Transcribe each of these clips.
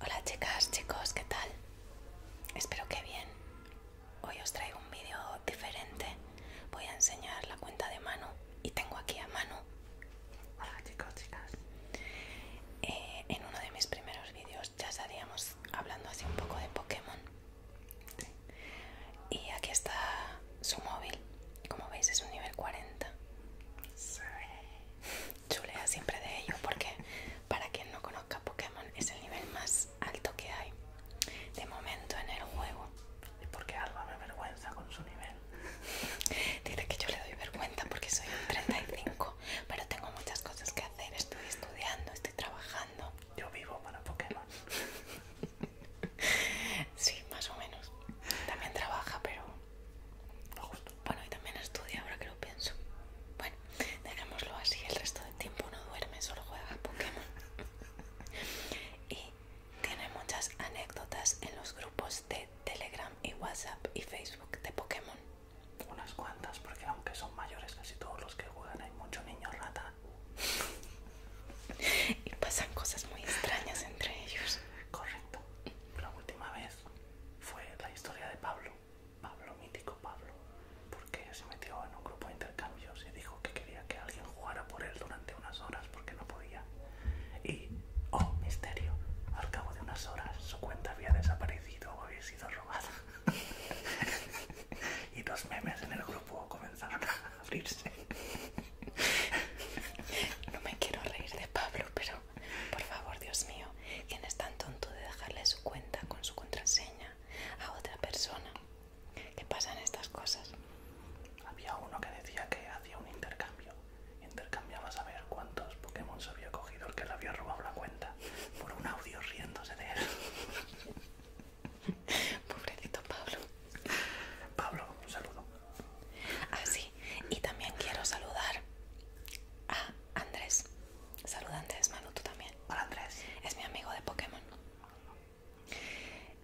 Hola chicas, chicos, ¿qué tal? Espero que bien. Hoy os traigo un vídeo diferente. Voy a enseñar la cuenta de Manu y tengo aquí a Manu. Hola chicos, chicas. Eh, en uno de mis primeros vídeos ya estaríamos hablando así un poco de Pokémon. Y aquí está su móvil. Como veis es un nivel 40 chulea siempre de ello porque para quien no conozca Pokémon es el nivel más alto que hay de momento en el juego. ¿Y por qué Alba me avergüenza con su nivel? Dice que yo le doy vergüenza porque soy 35, pero tengo muchas cosas que hacer, estoy estudiando, estoy trabajando. Yo vivo para Pokémon. sí, más o menos. También trabaja, pero bueno, y también estudia ahora que lo pienso. Bueno, dejémoslo así, el resto del tiempo no duerme, solo juega Pokémon. y tiene muchas anécdotas en los grupos de Telegram y WhatsApp y Facebook de Pokémon. Unas cuantas, porque aunque son mayores casi todos los que juegan, hay mucho niño rata. y pasan cosas muy extrañas entre ellos. Correcto. La última vez fue la historia de Pablo, Pablo, mítico Pablo, porque se metió en un grupo de intercambios y dijo que quería que alguien jugara por él durante unas horas porque no podía. Y, oh, misterio, al cabo de unas horas su cuenta había desaparecido o había sido robada. y dos memes en el grupo comenzaron a abrirse. No me quiero reír de Pablo, pero por favor, Dios mío, ¿quién es tan tonto de dejarle su cuenta con su contraseña a otra persona? ¿Qué pasan estas cosas? Había uno que decía que hacía un intercambio. Intercambiaba saber cuántos Pokémon se había cogido el que le había robado la cuenta por un audio riéndose de él. Pobrecito Pablo. Pablo, un saludo. Ah, y también quiero saludar a Andrés. Saluda Andrés, Manu, tú también. Hola Andrés. Es mi amigo de Pokémon.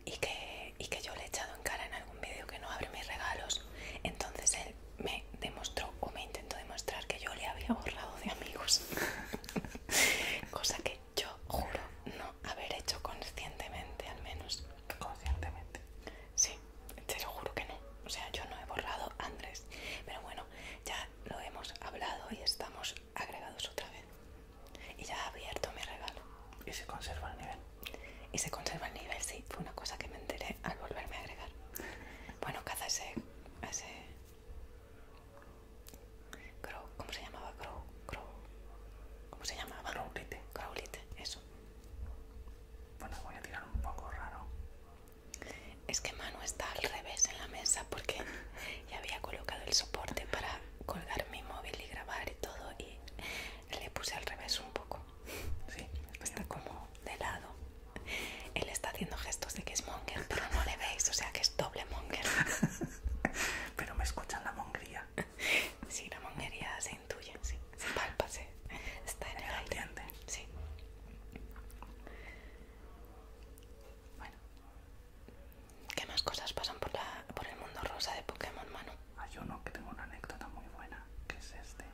Y que, y que yo le he echado en cara en algún vídeo que no abre mis regalos. Entonces él me demostró o me intentó demostrar que yo le había borrado de amigos. Cosa que yo juro no haber hecho conscientemente al menos. Conscientemente. Sí te lo juro que no. O sea, yo no he borrado Andrés. Pero bueno, ya lo hemos hablado y estamos agregados otra vez. Y ya ha abierto mi regalo. ¿Y se conserva el nivel? Y se conserva el nivel, sí. Fue una cosa que me enteré al volverme a agregar. Bueno, caza ese... ese... Crow, ¿Cómo se llamaba? Crow, Crow. ¿Cómo se llamaba? Crowlite. Crowlite, eso. Bueno, voy a tirar un poco raro. Es que Manu está al revés en la mesa porque ya había colocado el soporte para colgar mi móvil y grabar y todo y le puse al revés un poco. Sí, está como de lado. Él está haciendo gestos de que es monger, pero no le veis, o sea que es doble monger. pero me escuchan la mongería. Sí, la mongería intuye, sí, se está en el aire. Sí. Bueno, ¿qué más cosas pasan por, la, por el mundo rosa de Pokémon, mano? Ah, Hay uno que tengo una anécdota muy buena, que es este.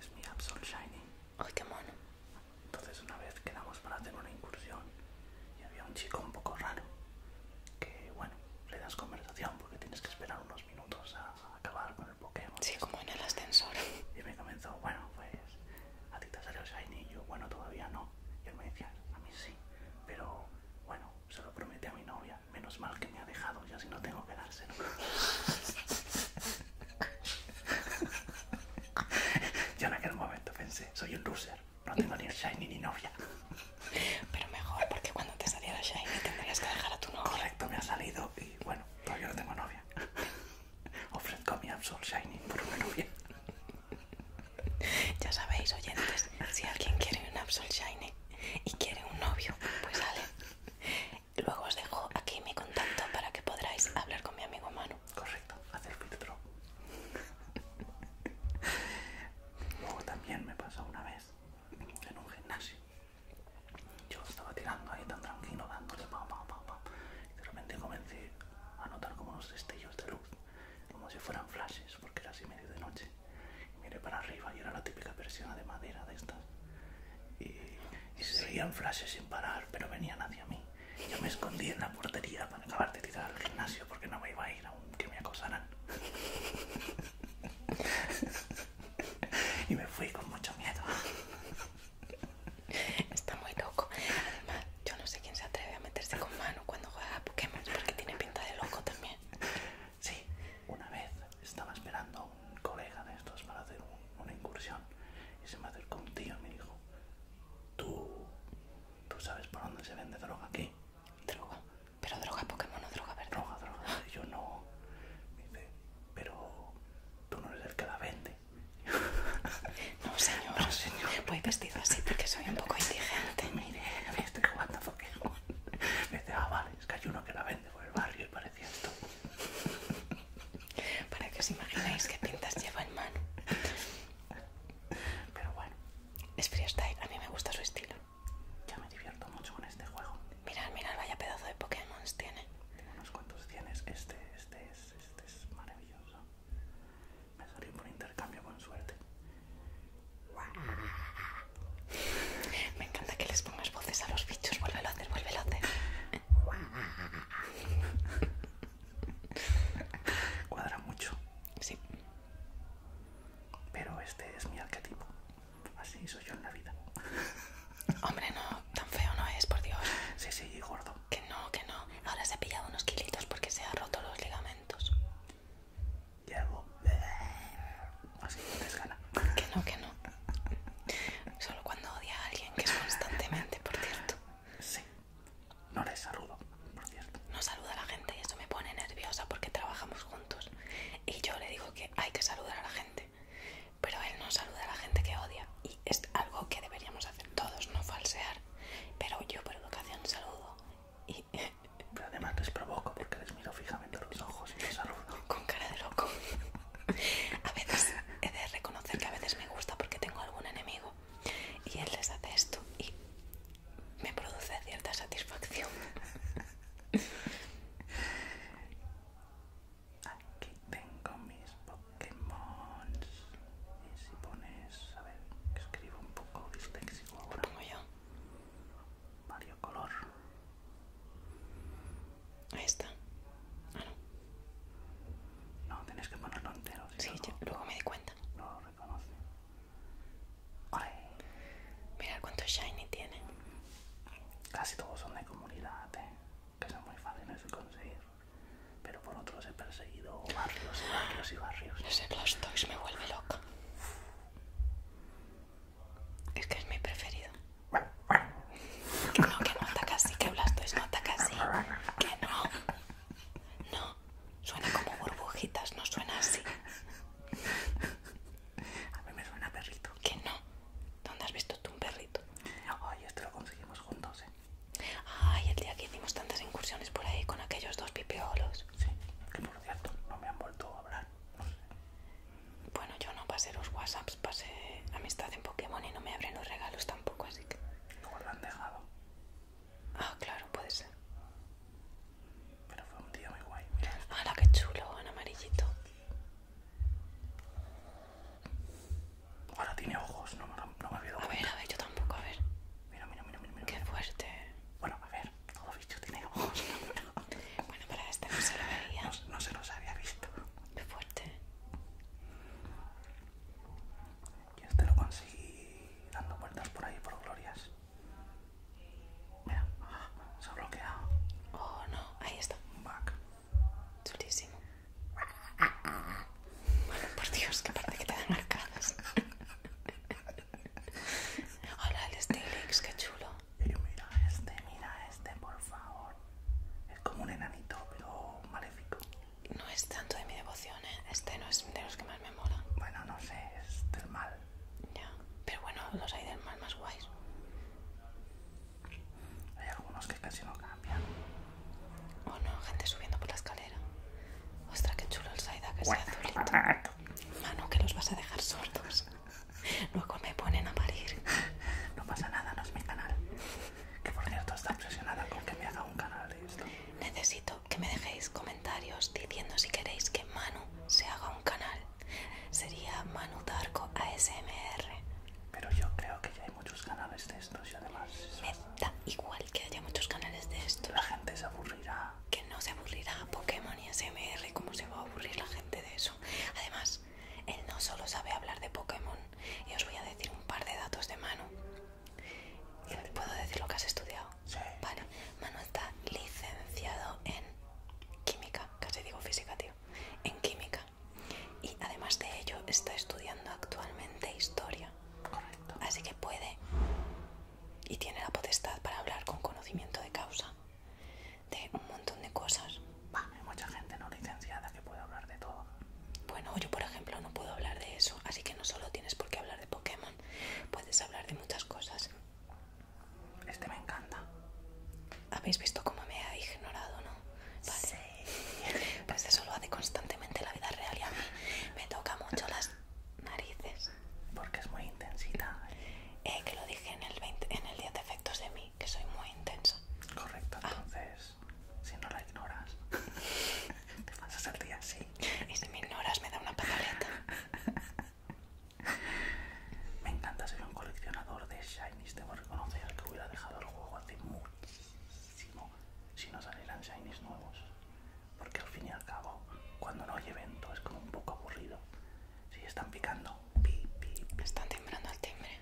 Es mi Absol Shiny. Pokémon Entonces una vez quedamos para hacer una incursión y había un chico un poco raro que, bueno, le das conversación porque tienes que esperar unos minutos a acabar con el Pokémon. Sí, como en el ascensor. Y me comenzó, bueno, pues a ti te salió Shiny y yo, bueno, todavía no. Y él me decía, a mí sí, pero bueno, se lo prometí a mi novia. Menos mal que me ha dejado, ya si no tengo que dárselo. yo en aquel momento pensé, soy un loser, no tengo ni Shiny ni novia. Pero mejor, porque cuando te saliera Shiny tendrías que dejar a tu novia. Correcto, me ha salido y bueno, todavía no tengo novia. Ofrezco mi Absol Shiny por una novia. Ya sabéis, oyentes, si alguien quiere un Absol Shiny y quiere un novio, pues sale. Luego os dejo aquí mi contacto para que podráis hablar con mi amigo Manu. Correcto, hacer filtro. Luego también me pasó una vez en un gimnasio yo estaba tirando ahí tan tranquilo, dándole pa pa pa pa, Y de repente comencé a notar como unos destellos de luz, como si fueran flashes, porque era así medio de noche. Y miré para arriba y era la típica persiana de madera de estas. Y, y se veían flashes sin parar, pero venían hacia mí. Yo me escondí en la portería para acabar de tirar al gimnasio porque no me iba a ir aunque me acosaran. y me fui con mucho miedo. Está muy loco. Además, yo no sé quién se atreve a meterse con mano cuando juega a Pokémon porque tiene pinta de loco también. Sí, una vez estaba esperando a un colega de estos para hacer una incursión y se me acercó un tío y me dijo: ¿Tú, ¿Tú sabes por dónde se vende droga aquí? Droga. Pero droga Pokémon, o droga verdad. Droga, droga. yo no. Me dice, pero tú no eres el que la vende. No, señor. No, señor. Voy vestido así porque soy un poco indigente. Mire, me estoy jugando a Pokémon. Me dice, ah, vale, es que hay uno que la vende por el barrio y parecía esto. Para que os imaginéis qué pintas lleva en mano. Pero bueno. Es freestyle, a mí me gusta su estilo. Ya me divierto mucho con este juego. Mirad, mirad, vaya pedazo de Pokémon tiene. Unos cuantos tienes. Este, este es, este es maravilloso. Me salió por intercambio con suerte. Me encanta que les pongas voces a los bichos. Vuélvelo a hacer, vuélvelo a hacer. Cuadra mucho. Sí. Pero este es mi arquetipo. Así soy yo en la vida. Hombre, no, tan feo no es, por Dios. Sí, sí, gordo. Que no, que no. Ahora se ha pillado unos kilitos porque se ha roto los ligamentos. Llevo. Eh, así no desgana. Que no, que no. Solo cuando odia a alguien, que es constantemente, por cierto. Sí. No les saludo, por cierto. No saluda a la gente y eso me pone nerviosa porque trabajamos juntos y yo le digo que hay que saludar a la gente, pero él no saluda a la gente que odia y es algo que deberíamos hacer todos, no falsear, pero yo por educación saludo y... además les provoco porque les miro fijamente los ojos y les saludo. Con cara de loco. A veces he de reconocer que a veces me gusta porque tengo algún enemigo y él les hace esto y me produce cierta satisfacción. Aquí tengo mis Pokémon. Y si pones, a ver, escribo un poco texto, ahora. Pongo yo. varios Color. Ahí está. Ah, no. No, tenés que ponerlo entero. sí, luego me di cuenta. No lo reconoce. Mira cuánto shiny tiene. Casi todos son de comunidad, eh, que son muy fáciles de conseguir. Pero por otros he perseguido barrios y barrios y barrios. Ese Blastoise me vuelve loca. Es que es mi preferido. que no, que no ataca así, que Blastoise no ataca así. Que no. No, suena como burbujitas, no suena así. A mí me suena perrito. Que no. ¿Dónde has visto tú un perrito? Ay, esto lo conseguimos juntos, ¿eh? Ay, el día que hicimos tantas incursiones por ahí con aquellos dos pipiolos. Sí, que por cierto, no me han vuelto a hablar. Bueno, yo no pasé los WhatsApps, pasé amistad en Pokémon y no me abren los regalos tampoco, así que. no lo han dejado. Ah, claro, puede ser. Pero fue un día muy guay. Mira qué chulo! En amarillito. Ahora tiene ojos, no, me había dado A ver, a ver, yo tampoco, a ver. Mira, mira, mira, mira. qué fuerte. Bueno, a ver, todo bicho tiene ojos. bueno, para este no se lo veía. No, se los había visto. Qué fuerte. Y este lo conseguí dando vueltas por ahí por glorias. Mira, se ha bloqueado. Oh no, ahí está. Chulísimo. Bueno, por Dios, que aparte que te dan marcadas. Hola, el Stilix, qué chulo. mira este, mira este, por favor. Es como un enanito, pero maléfico. No es tanto de mi devoción, ¿eh? Este no es de los que más me mola. Bueno, no sé, es del mal. Ya, pero bueno, los hay del más más guays. Hay algunos que casi no cambian. Oh no, gente subiendo por la escalera. Ostras, qué chulo el Saida que sea azulito. Mano, que los vas a dejar sordos. Luego me ponen a parir. No pasa nada, no es mi canal. Que por cierto está obsesionada con que me haga un canal de esto. Necesito que me dejéis comentarios diciendo si queréis que Manu se haga un canal. Sería Manu Darko ASMR. Pero yo creo que ya hay muchos canales de estos y además... Me da igual que haya muchos canales de esto La gente se aburrirá. Que no se aburrirá Pokémon y ASMR. ¿Cómo se va a aburrir la gente de eso? Además, él no solo sabe hablar de Pokémon. Y os voy a decir un par de datos de Manu. ¿Puedo decir lo que has estudiado? Sí. Vale. Manu está licenciado en química, casi digo física, tío, en química. Y además de ello está estudiando actualmente historia. Correcto. Así que puede y tiene la potestad para hablar con conocimiento de causa de un montón de cosas. Bah, hay mucha gente no licenciada que puede hablar de todo. Bueno, yo por ejemplo no puedo hablar de eso, así que no solo tienes por qué hablar de Pokémon, puedes hablar de muchas cosas. Este me encanta. Habéis visto cómo me ha ignorado, ¿no? Sí. Pues eso lo hace constantemente la vida real y a mí me toca mucho las narices. Porque es muy intensita. Eh, que lo dije en el, día de efectos de mí, que soy muy intensa. Correcto, ah. entonces, si no la ignoras, te pasas el día así. Y si me ignoras, me da una pataleta. Me encanta, ser un coleccionador de shinies. que reconocer que hubiera dejado el juego hace muchísimo si no salieran shinies nuevos. Porque al fin y al cabo, cuando no hay evento, es como un poco aburrido. Si están picando, pi, pi, Están temblando el timbre.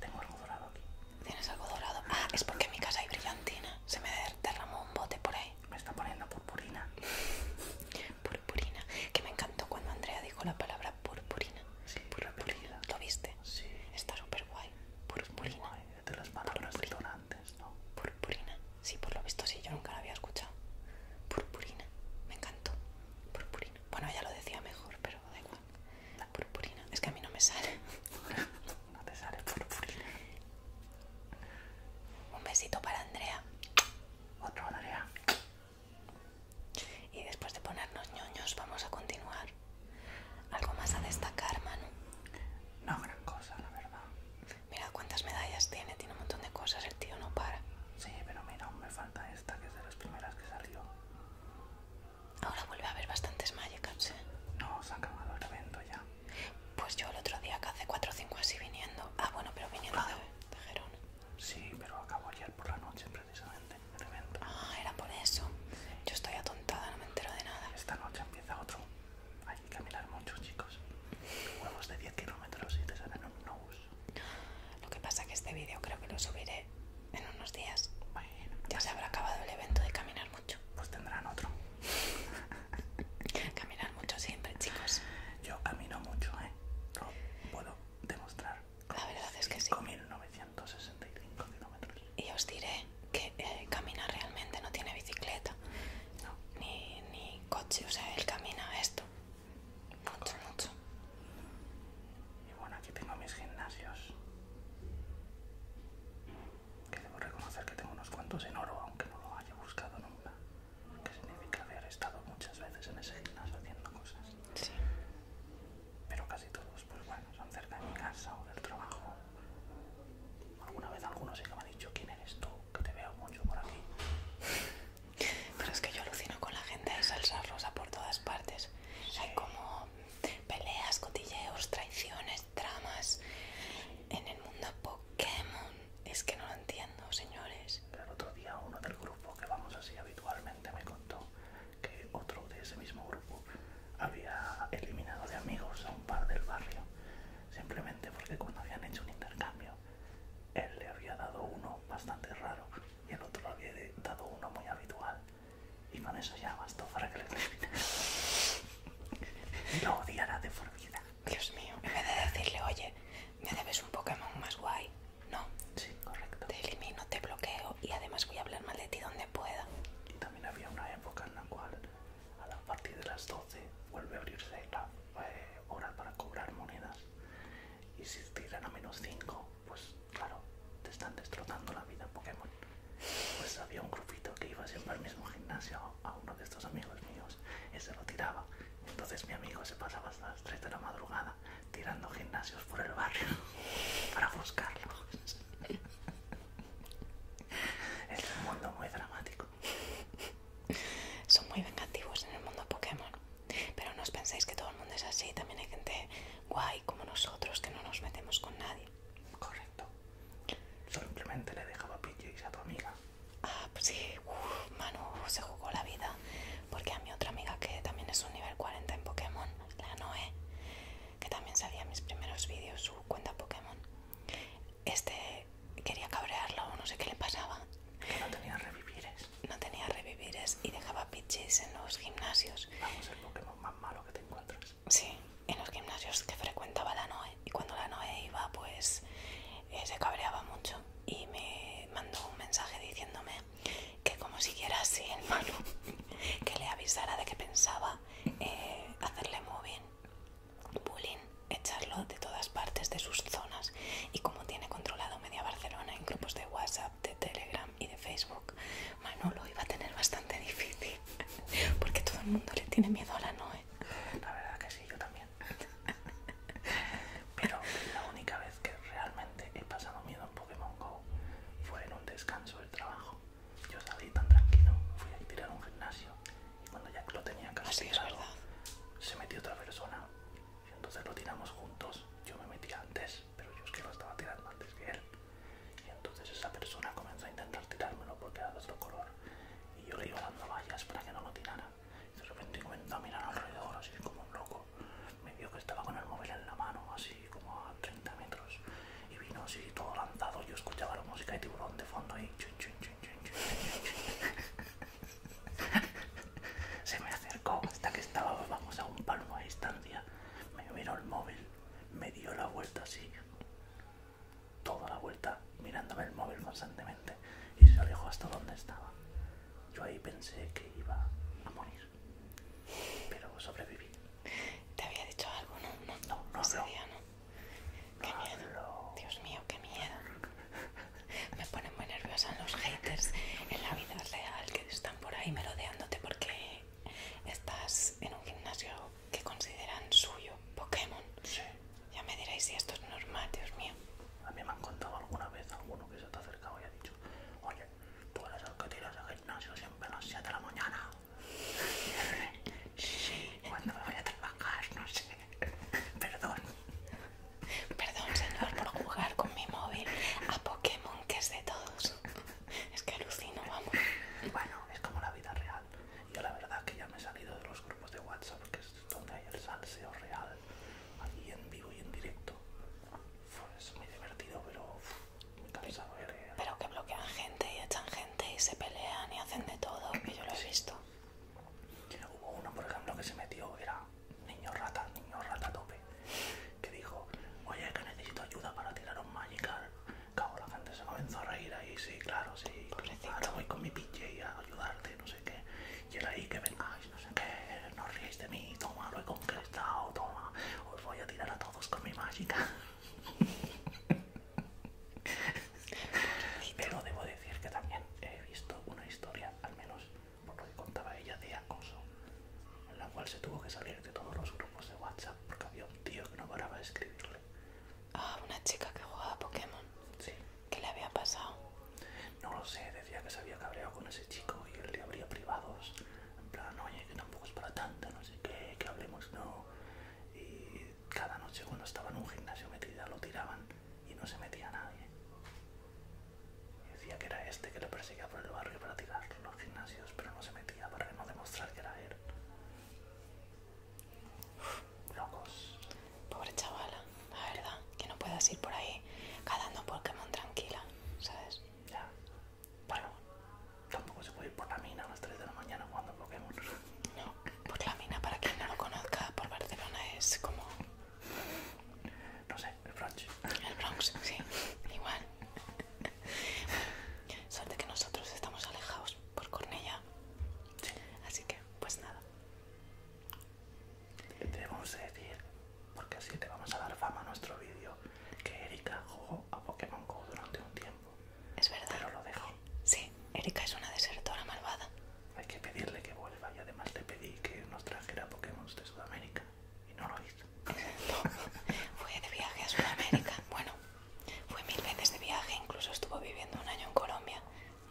tengo algo dorado aquí. ¿Tienes algo dorado? Ah, es porque en mi casa hay brillantina. Se me derramó un bote por ahí me está poniendo purpurina. purpurina, que me encantó cuando Andrea dijo la palabra purpurina. Sí, purpurina. ¿Lo viste? Sí. Está súper guay. Purpurina. de las palabras purpurina. ¿no? Purpurina. Sí, por lo visto sí, yo nunca la había escuchado. Purpurina. Me encantó. Purpurina. Bueno, ella lo decía mejor, pero da igual. La purpurina. Es que a mí no me sale. no te sale purpurina. Un besito para Andrea. Otro Andrea. Y después de ponernos ñoños vamos a continuar. ¿Algo más a destacar, Manu? No gran cosa, la verdad. Mira cuántas medallas tiene, tiene un montón de cosas, el tío no para. Sí, pero mira, aún me falta esta, que es de las primeras que salió. Ahora vuelve a haber bastantes Magikarps, ¿eh? No, se ha acabado el evento ya. Pues yo el otro día, acá hace 4 o 5 así viniendo. Ah, bueno, pero viniendo de, Sí, pero acabó ayer por la noche precisamente el evento. Ah, era por eso. Yo estoy atontada, no me entero de nada. Esta noche empieza otro. Hay que caminar mucho, chicos. Huevos de 10 kilómetros y te salen un no Lo que pasa que este vídeo creo que lo subiré en unos días. ya pues se habrá acabado el evento de caminar mucho. Pues tendrán otro. Caminar mucho siempre, chicos. Yo camino mucho, ¿eh? puedo demostrar. La verdad es que sí. 5.965 kilómetros. Y os diré que eh, caminar camina realmente, no tiene bicicleta. Ni, coche, o sea, él camina esto. Mucho, mucho. Y bueno, aquí tengo mis gimnasios. Que debo reconocer que tengo unos cuantos en oro, aunque no lo haya buscado nunca que significa haber estado muchas veces en ese gimnasio haciendo cosas. Pero casi todos, pues bueno, son cerca de mi casa o del trabajo. Alguna vez alguno sí que me ha dicho quién eres tú, que te veo mucho por aquí. Pero es que yo alucino con la gente de salsa rosa por todas partes. Hay como peleas, cotilleos, traiciones, tramas. En el mundo Pokémon es que no lo entiendo, señores. El otro día uno del grupo que vamos así habitualmente me contó que otro de ese mismo grupo había eliminado de amigos a un par del barrio, simplemente porque cuando habían hecho un intercambio, él le había dado uno bastante raro y el otro le había dado uno muy habitual. Y con eso ya bastó para que le Lo odiara de Dios mío, en vez de decirle, oye, me debes un Pokémon más guay, no. Sí, correcto. Te elimino, te bloqueo y además voy a hablar mal de ti donde pueda. Y también había una época en la cual a partir de las 12 vuelve a abrirse la eh, hora para cobrar monedas. Y si tiran a menos 5, pues claro, te están destrozando la vida Pokémon. Pues había un grupito que iba siempre al mismo gimnasio a uno de estos amigos míos y se lo tiraba. Entonces mi amigo se pasaba hasta las 3 de la madrugada tirando gimnasios por el barrio para buscarlo. Es un mundo muy dramático. Son muy vengativos en el mundo Pokémon. Pero no os penséis que todo el mundo es así. También hay gente guay como nosotros que no nos metemos con nadie. Correcto. Simplemente le dejaba y a tu amiga Ah, pues sí, Manu se jugó la vida. Porque a mi otra amiga, que también es un nivel 40 en Pokémon, la Noé, que también salía mis primeros vídeos, su cuenta Pokémon, este quería cabrearlo, no sé qué le pasaba. Que no tenía revivires. No tenía revivires y dejaba pitches en los gimnasios. Vamos, el Pokémon más malo que te encuentras. Sí, en los gimnasios que frecuentaba la Noé y cuando la Noé iba pues eh, se cabreaba mucho y me mandó un mensaje diciéndome que como siguiera así el Manu que le avisara de que pensaba eh, hacerle móvil bullying, echarlo de todas partes de sus zonas y como tiene controlado media Barcelona en grupos de WhatsApp, de Telegram y de Facebook, Manu lo iba a tener bastante difícil porque todo el mundo le tiene miedo a la Noé la verdad que sí, yo también. Pero la única vez que realmente he pasado miedo en Pokémon Go fue en un descanso del trabajo. Yo salí tan tranquilo, fui a tirar un gimnasio y cuando ya lo tenía casi tirado, se metió otra persona. Y entonces lo tiramos juntos. Yo me metí antes, pero yo es que lo estaba tirando antes que él. Y entonces esa persona comenzó a intentar tirármelo porque era de otro color. Y yo le iba dando vallas para que no lo tirara. Y de repente comenzó a mirar alrededor, así como un loco. Me vio que estaba con el móvil en la mano, así como a 30 metros. Y vino así todo lanzado. Yo escuchaba la música de tiburón de fondo ahí. Se me acercó hasta que estaba, vamos, a un palmo de distancia. Me miró el móvil, me dio la vuelta así toda la vuelta mirándome el móvil constantemente y se alejó hasta donde estaba. Yo ahí pensé que iba a morir, pero sobreviví. ¿Te había dicho algo? No, no, no. no, no. Qué miedo. Dios mío, qué miedo. Me ponen muy nerviosa los haters en la vida real que están por ahí merodeándote porque estás en un gimnasio que consideran suyo, Pokémon. Sí. Ya me diréis si esto es normal, Dios mío. A mí me han contado alguna vez alguno que se te ha acercado y ha dicho, oye, tú eres el que tiras al gimnasio siempre a las 7 de la mañana. sí, cuando me voy a trabajar, no sé. Perdón. Perdón, señor, por jugar con mi móvil a Pokémon, que es de todos. Es que alucino, vamos. Bueno, es como la vida real. Yo la verdad que ya me he salido de los grupos de WhatsApp, que es donde hay el salseo real, aquí en vivo y en directo. Pues, es muy divertido, pero me ver. Pero que bloquean gente y echan gente y se pelean y hacen de todo, que yo lo he visto. Hubo uno, por ejemplo, que se metió, era niño rata, niño rata tope, que dijo, oye, que necesito ayuda para tirar un Magikarp Cabo, la gente se comenzó a reír ahí, sí, claro, sí. Ahora voy con mi pinche y a ayudarte, no sé qué. Y era ahí que vengáis, no sé qué, no ríais de mí, toma, lo he conquistado, toma, os voy a tirar a todos con mi mágica. Pero debo decir que también he visto una historia, al menos por lo que contaba ella, de acoso, en la cual se tuvo que salir de todos los grupos de WhatsApp porque había un tío que no paraba de escribirle. Ah, una chica que jugaba a Pokémon. Sí. ¿Qué le había pasado? No lo sé, decía que se había cabreado con ese chico y él le habría privados. En plan, oye, que tampoco es para tanto, no sé qué, que hablemos, no. Y cada noche cuando estaba en un gimnasio metida lo tiraban y no se metía a nadie. decía que era este que le perseguía por el barrio para tirar los gimnasios, pero no se metía para no demostrar que era él locos. Pobre chavala, la verdad, que no puedas ir por ahí cazando Pokémon tranquila, ¿sabes? Ya. Bueno, tampoco se puede ir por la mina a las 3 de la mañana jugando Pokémon. No, por la mina, para quien no lo conozca, por Barcelona es como... No sé, el Bronx. El Bronx, sí, igual. Suerte que nosotros estamos alejados por Cornella. Así que, pues nada. Debemos decir, porque así te vamos a dar fama a nuestro vídeo, que Erika jugó a Pokémon GO durante un tiempo. Es verdad. Pero lo dejó. Sí, Erika es una desertora malvada. Hay que pedirle que vuelva y además te pedí que nos trajera Pokémon de Sudamérica y no lo hizo. No, fue de viaje a Sudamérica. Bueno, fue mil veces de viaje, incluso estuvo viviendo un año en Colombia.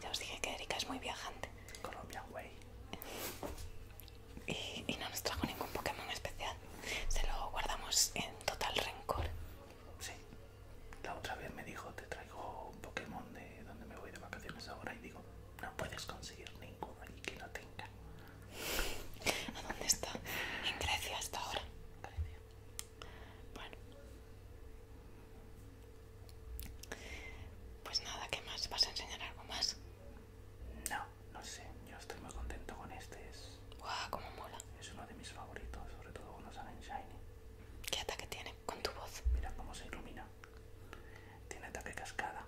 Ya os dije que Erika es muy viajante. Colombia, güey. Y, no nos trajo ningún Pokémon especial. Se lo guardamos en total rencor. Sí. La otra vez me dijo, te traigo un Pokémon de donde me voy de vacaciones ahora y digo, no puedes conseguir ninguno y que no tenga. ¿A dónde está? En Grecia hasta ahora. Grecia. Bueno. Pues nada, ¿qué más? ¿Vas a enseñar algo más? No, no sé. Yo estoy muy contento con este. Es... ¡Cómo mola! Es uno de mis favoritos, sobre todo cuando salen Shiny. ¿Qué ataque tiene con tu voz? Mira cómo se ilumina. Tiene ataque cascada.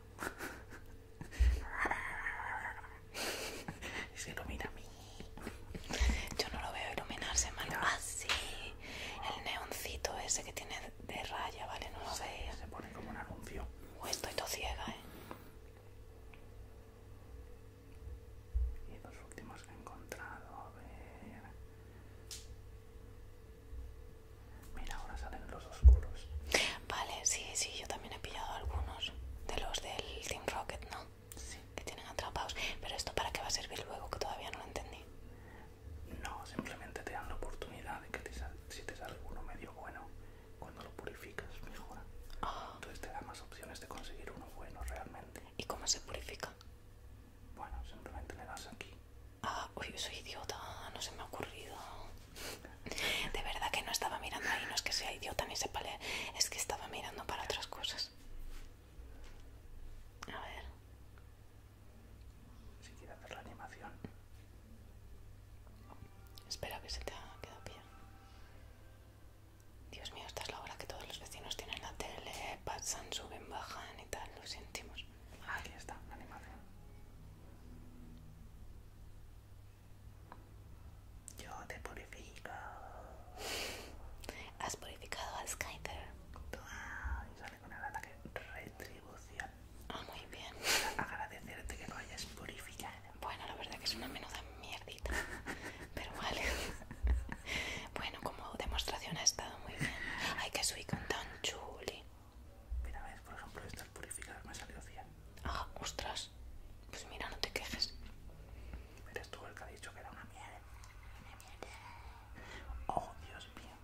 se ilumina a mí. Yo no lo veo iluminarse, mal. Ah, sí. El neoncito ese que tiene de raya, ¿vale? No lo veis Se pone como un anuncio. estoy todo ciega, ¿eh? Y los últimos que he encontrado, a ver... Mira, ahora salen los oscuros. Vale, sí, sí, yo también he pillado algunos de los del Team Rocket, ¿no? sí. que tienen atrapados. Pero esto para qué va a servir luego, que todavía no lo entendí. No, simplemente te dan la oportunidad de que si te sale uno medio bueno, cuando lo purificas mejora. Ah. Entonces te da más opciones de conseguir uno bueno realmente. ¿Y cómo se purifica? Bueno, simplemente le das aquí. Ah, uy, soy idiota, no se me ha ocurrido. De verdad que no estaba mirando ahí, no es que sea idiota ni sepa es que estaba mirando para otras cosas. A ver. Si quieres hacer la animación. Espera que se te haya quedado bien Dios mío, esta es la hora que todos los vecinos tienen la tele, pasan, suben, bajan y tal, lo sentimos. Aquí está, la animación. Yo te purifico. Has purificado al Skyther. Ah, y sale con el ataque retribución. Ah, muy bien. Agradecerte que lo hayas purificado. Bueno, la verdad que es una menuda mierdita. Pero vale. bueno, como demostración ha estado muy bien. hay que con tan chuli. Mira, ves, por ejemplo, esto al purificar me salido 100. Ah, ostras. Pues mira, no te quejes. Eres tú el que ha dicho que era una mierda. Oh, Dios mío.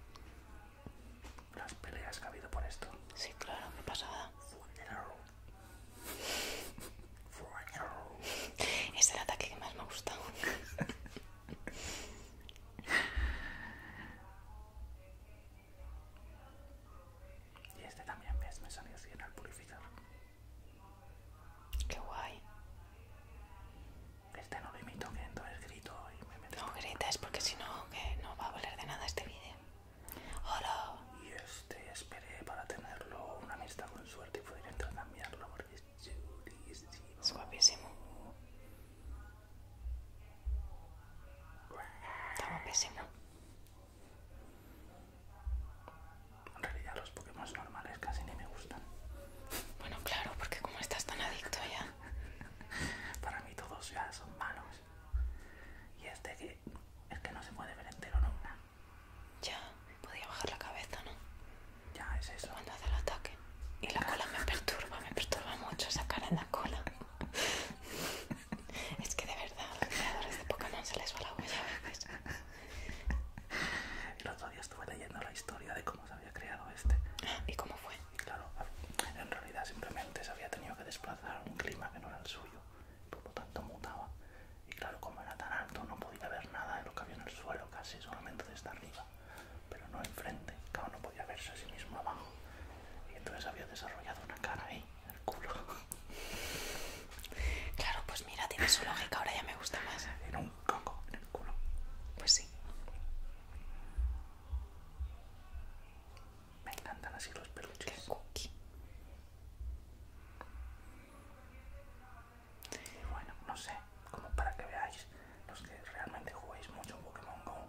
Las peleas que ha habido por esto. Sí, claro, qué pasada. Funeral. Funeral. Es el ataque que más me ha gustado. y este también, ¿ves? Me salió así en el purificador. Qué guay. Este no lo imito, que entonces grito y me meto. No grites porque si no, que no va a valer de nada este vídeo. ¡Hola! Y este esperé para tenerlo una amistad con suerte y poder cambiarlo porque es chulísimo. Es guapísimo. Está guapísimo. En realidad los Pokémon normales casi ni me gustan. Bueno, claro, porque como estás tan adicto ya. Para mí todos ya son malos. Y este que es que no se puede ver entero nunca. Ya, podía bajar la cabeza, ¿no? Ya, es eso. Cuando hace el ataque. Y la cola me perturba, me perturba mucho esa cara en la cola. es que de verdad, a los creadores de Pokémon se les va la huella y El otro día estuve leyendo la historia de cómo se había creado este. ¿Y cómo fue? Claro, en realidad simplemente se había tenido que desplazar a un clima que no era el suyo, por lo tanto mutaba. Y claro, como era tan alto, no podía ver nada de lo que había en el suelo, casi solamente desde arriba, pero no enfrente. Claro, no podía verse a sí mismo abajo. Y entonces había desarrollado una cara ahí, en el culo. Claro, pues mira, tiene su lógica, ahora ya me gusta más. En un coco en el culo. Pues sí. Me encantan así los peluches. cookie. Y bueno, no sé, como para que veáis, los que realmente juguéis mucho Pokémon GO,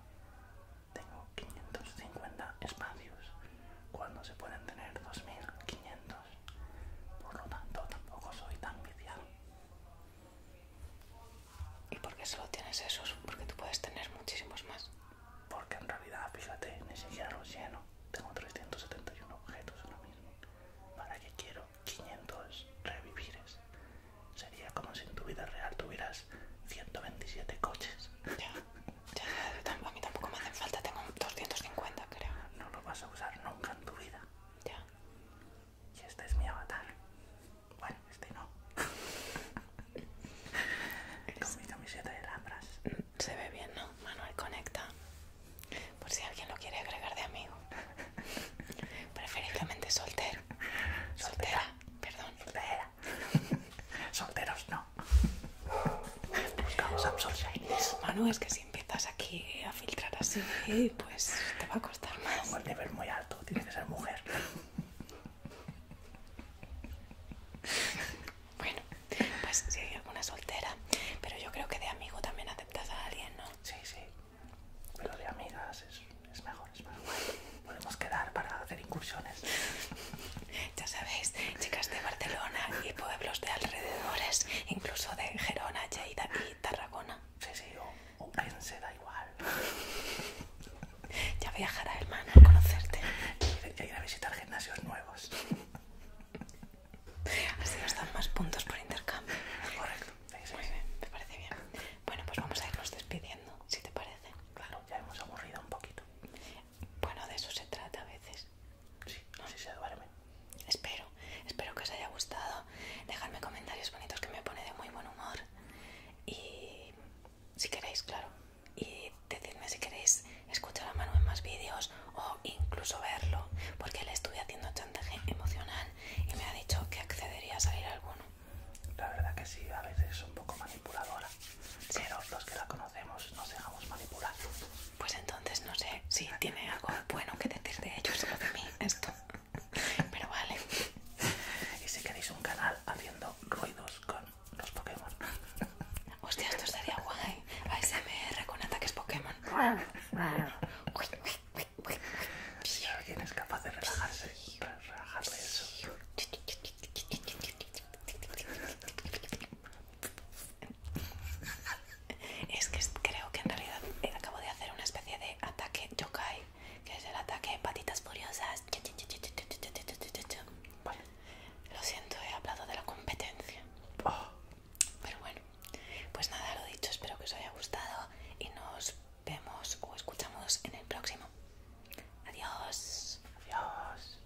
tengo 550 espacios, cuando se pueden tener 2500. Por lo tanto, tampoco soy tan viciado. ¿Y por qué solo tienes esos? Porque tú puedes tener muchísimos más. Porque en realidad, fíjate, ni siquiera los lleno. Tengo 371 objetos ahora mismo. ¿Para qué quiero 500 revivires? Sería como si en tu vida real tuvieras 127 coches. Ya, ya, a mí tampoco me hacen falta. Tengo 250, creo. No lo vas usar nunca en tu vida. Ya. Y este es mi avatar. Bueno, este no. mi camiseta de lambras. Se ve bien, ¿no? Manuel Conecta. Por si alguien lo quiere agregar de amigo. Preferiblemente soltero. Soltera. Perdón. Soltera. Solteros no. Buscamos a Shinies. Manuel, es que si empiezas aquí a filtrar así, pues te va a costar más. Un nivel muy alto, tienes que ser mujer. Bueno, pues si alguna soltera, pero yo creo que de amigo también aceptas a alguien, ¿no? Sí, sí, pero de amigas es, es mejor, es mejor. Podemos quedar para hacer incursiones. Ya sabéis, chicas de Barcelona y pueblos de alrededores, incluso de Gerona, Lleida y Tarragona. Sí, sí, o, Pense, da igual. Ya viajará, hermano, a conocerte. Y a ir a visitar gimnasios nuevos. Así nos dan más puntos por intercambio. Correcto. me parece bien. Bueno, pues vamos a irnos despidiendo, si te parece. Claro, ya hemos aburrido un poquito. Bueno, de eso se trata a veces. Sí, no sé si se Espero, espero que os haya gustado. Dejadme comentarios bonitos que me pone de muy buen humor. Y si queréis, claro. Y decidme si queréis escuchar a Manu en más vídeos o incluso verlo, porque le estuve haciendo chantaje emocional y me ha dicho que accedería a salir alguno. La verdad que sí, a veces es un poco manipuladora, pero los que la conocemos no se manipular. Pues entonces no sé si tiene algo bueno que decir de ellos o de mí esto. Pero vale. Y si queréis un canal haciendo ruidos con los Pokémon. Hostia, esto sería guay. ASMR con ataques Pokémon. Si alguien es capaz de relajarse, Relajarse. Es que creo que en realidad eh, acabo de hacer una especie de ataque yokai, que es el ataque patitas furiosas. lo siento, he hablado de la competencia. Oh. Pero bueno, pues nada, lo dicho, espero que os haya gustado y nos vemos o escuchamos en el próximo. Adiós. Adiós.